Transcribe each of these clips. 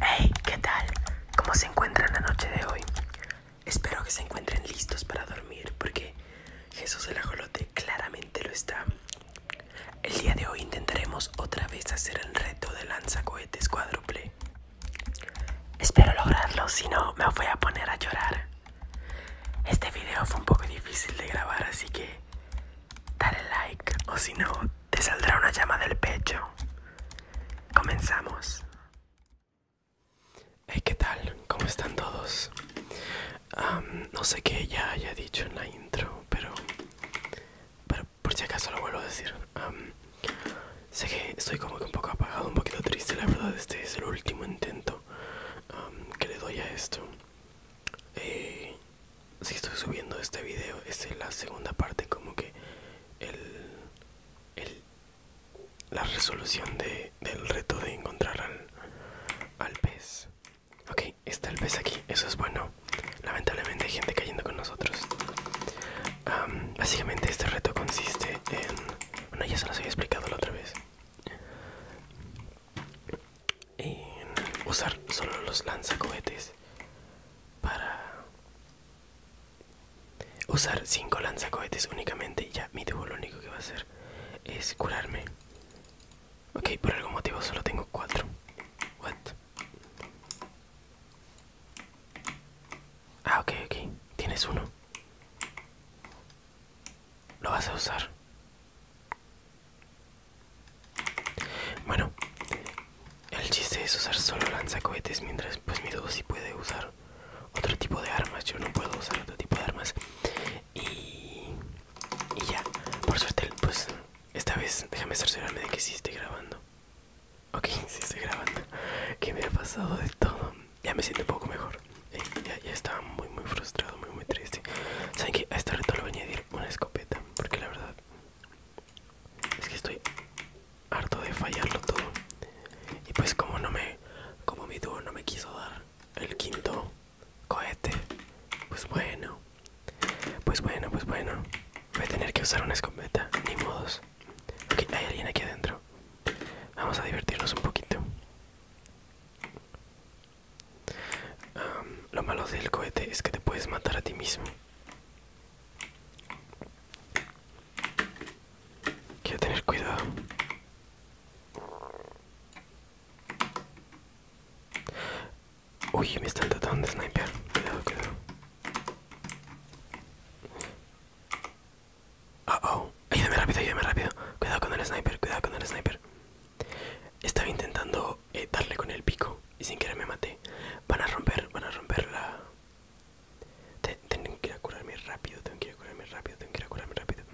Hey, ¿qué tal? ¿Cómo se encuentran la noche de hoy? Espero que se encuentren listos para dormir porque Jesús el Ajolote claramente lo está. El día de hoy intentaremos otra vez hacer el reto de lanza cohetes cuádruple. Espero lograrlo, si no me voy a poner a llorar. Este video fue un poco difícil de grabar, así que dale like o si no, te saldrá una llama del pecho. Comenzamos. Hey, ¿qué tal? ¿Cómo están todos? no sé qué ya haya dicho en la intro, pero, por si acaso lo vuelvo a decir. sé que estoy como que un poco apagado, un poquito triste, la verdad. Este es el último intento que le doy a esto. Eh, si estoy subiendo este video es este, la segunda parte como que el, la resolución de, del reto de encontrar al, pez ok está el pez aquí eso es bueno lamentablemente hay gente cayendo con nosotros básicamente este reto consiste en bueno ya se los había explicado la otra vez y usar solo los lanzacohetes para usar cinco lanzacohetes únicamente ya mi tubo lo único que va a hacer es curarme ok por algún motivo solo tengo cuatro what ah ok ok tienes uno lo vas a usar. Bueno, el chiste es usar solo lanzacohetes, mientras pues mi duda si puede usar otro tipo de armas. Yo no puedo usar otro tipo de armas. Y, y ya, por suerte, pues esta vez déjame cerciorarme de que si esté grabando. Ok, si estoy grabando. Que me ha pasado de todo. Ya me siento un poco mejor ya, estaba muy muy frustrado, muy muy triste. Saben que a este reto le voy a añadir una escopeta, porque la verdad es que estoy harto de fallarlo todo. Y pues como no me, como mi dúo no me quiso dar el quinto cohete, pues bueno, pues bueno, pues bueno, voy a tener que usar una escopeta, ni modos. Ok, hay alguien aquí adentro. Vamos a divertirnos un poquito lo malo del cohete es que te puedes matar a ti mismo. Quiero tener cuidado. Uy, me están tratando de sniper. Cuidado, cuidado. Ayúdame rápido, ayúdame rápido. Cuidado con el sniper, cuidado con el sniper. Estaba intentando eh, darle con el pico y sin querer me maté. Van a romper, van a romper la... tengo que curarme rápido, tengo que curarme rápido, tengo que curarme rápido.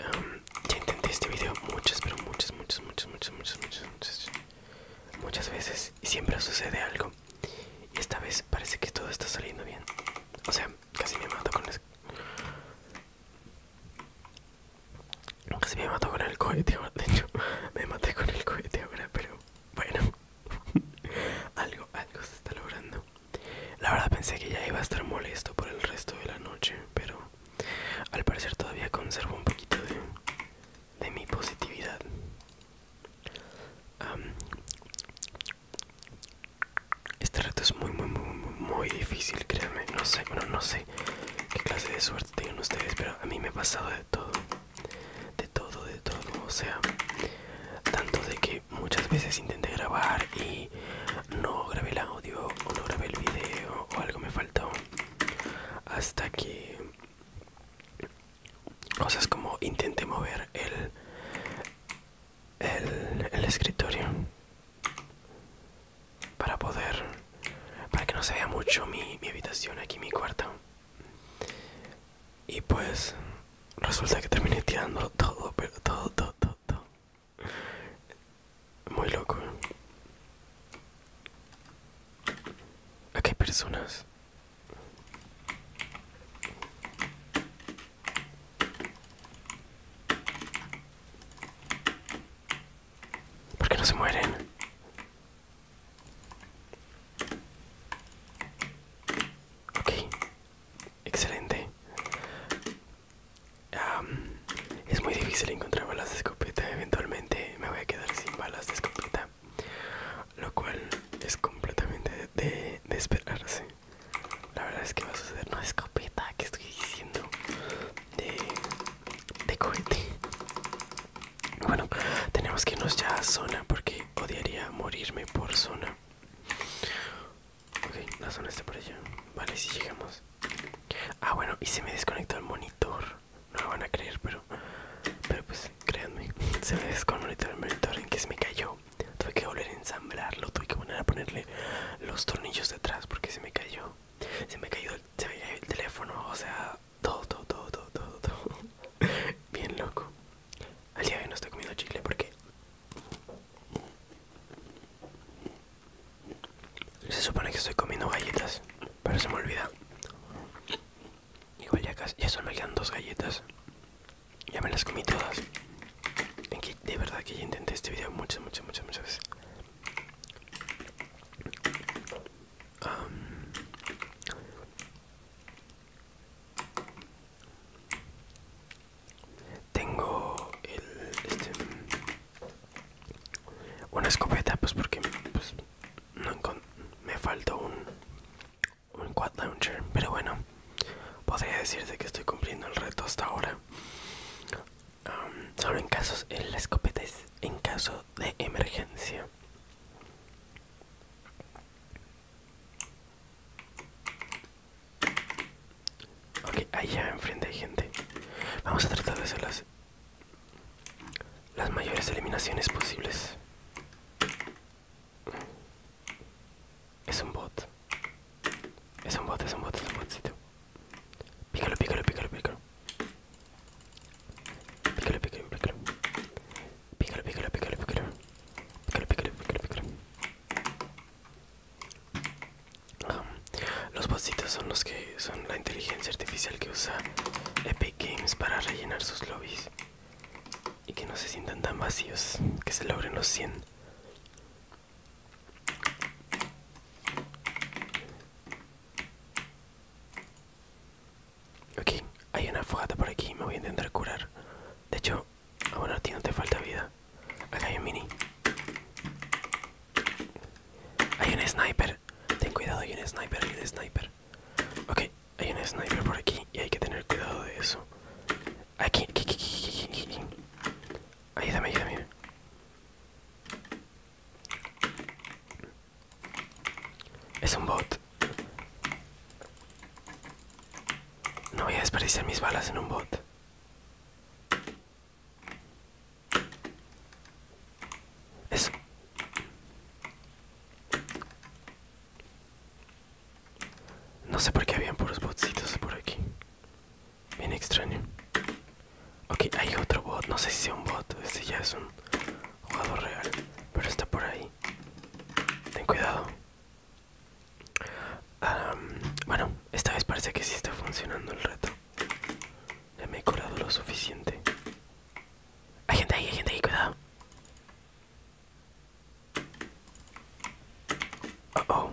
Um, ya intenté este video muchas, pero muchas, muchas, muchas, muchas, muchas, muchas, muchas, muchas veces. Y siempre sucede algo. Y esta vez parece que todo está saliendo bien. O sea, Casi me mato con el... con el cohete De hecho, me maté con el cohete ahora, pero bueno. algo, algo se está logrando. La verdad pensé que ya iba a estar molesto por el resto de la noche, pero al parecer todavía conservo un poquito de, de mi positividad. Este reto es muy, muy, muy, muy, difícil, créanme. No sé, bueno, no sé qué clase de suerte tengan ustedes, pero a mí me ha pasado de todo. De todo, de todo. O sea, tanto de que muchas veces intenté grabar y no grabé el audio o no grabé el video o algo me faltó. Hasta que cosas como intenté mover el el, el escritorio para poder para que no se vea mucho mi, mi habitación aquí mi cuarto y pues resulta que terminé tirando todo pero todo todo todo, todo. muy loco aquí hay personas ¿Por qué no se mueren? Ok, excelente. es muy difícil encontrar balas de escopeta. Eventualmente me voy a quedar sin balas de escopeta lo cual es completamente de, esperarse. La verdad es que va a suceder una escopeta que estoy diciendo de, cohete. Bueno, tenemos que irnos ya a zona porque odiaría morirme por zona. Ok, la zona está por allá. Vale, si llegamos. Ah, bueno, y se me desconectó el monitor. No lo van a creer, pero. Pero pues Créanme, se me con el monitor en que se me cayó. Tuve que volver a ensamblarlo, tuve que volver a ponerle los tornillos detrás porque se me cayó. Se me cayó el, teléfono, o sea, todo, todo, todo, todo, todo, todo. Bien loco. Al día de hoy no estoy comiendo chicle porque se supone que estoy comiendo galletas, pero se me olvida. Igual ya casi, ya solo me quedan dos galletas. Ya me las comí todas. que de verdad que ya intenté este video muchas, muchas, muchas, muchas veces. tengo el, este, una escopeta, pues porque pues, no me falta un, un quad launcher, pero bueno, podría decirte que estoy cumpliendo el reto hasta ahora. Um, solo en casos, en las escopeta en caso de emergencia. Ok, allá enfrente hay gente. Vamos a tratar de hacerlas las mayores eliminaciones posibles. Es un bot. Es un bot, es un bot, es un botcito. Pícalo, pícalo, pícalo, pícalo. Pícalo, pícalo, pícalo. Pícalo, pícalo, pícalo, pícalo. Pícalo, pícalo, pícalo, pícalo. los botsitos son los que son la inteligencia artificial que usa Epic Games para rellenar sus lobbies y que no se sientan tan vacíos, que se logren los 100. Ok, hay una fogata por aquí, me voy a intentar curar. De hecho, a bueno, a ti no te falta vida. Acá hay un mini. Hay un sniper. Ten cuidado, hay un sniper, hay un sniper. Ok, hay un sniper por aquí y hay que tener cuidado de eso. Aquí, aquí, aquí, aquí, aquí, aquí. Ayúdame, ayúdame. Es un bot. No voy a desperdiciar mis balas en un bot. Eso. No sé por qué habían puros botsitos por aquí. Bien extraño. Ok, hay otro bot. No sé si sea un bot. Este ya es un jugador real. Pero está por ahí. Ten cuidado. bueno, esta vez parece que sí está funcionando el reto. Ya me he colado lo suficiente. Hay gente ahí, hay gente ahí, cuidado. Oh, oh.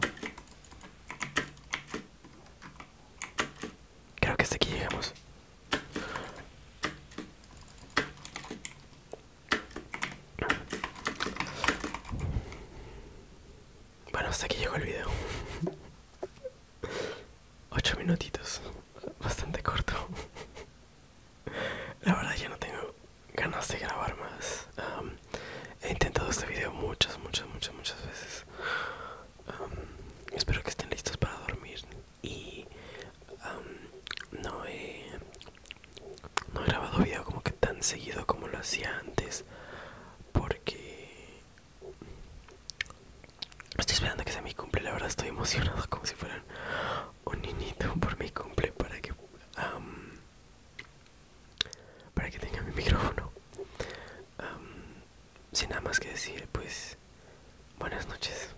Creo que hasta aquí llegamos. Bueno, hasta aquí llegó el video. ocho minutitos, bastante corto. La verdad ya no tengo ganas de grabar más. he intentado este video muchas, muchas, muchas, muchas veces. espero que estén listos para dormir y no, he, no he grabado video como que tan seguido como lo hacía antes porque Estoy esperando que sea mi cumple, la verdad estoy emocionado como si fuera un niñito por mi cumple para que para que tenga mi micrófono. sin nada más que decir, pues buenas noches.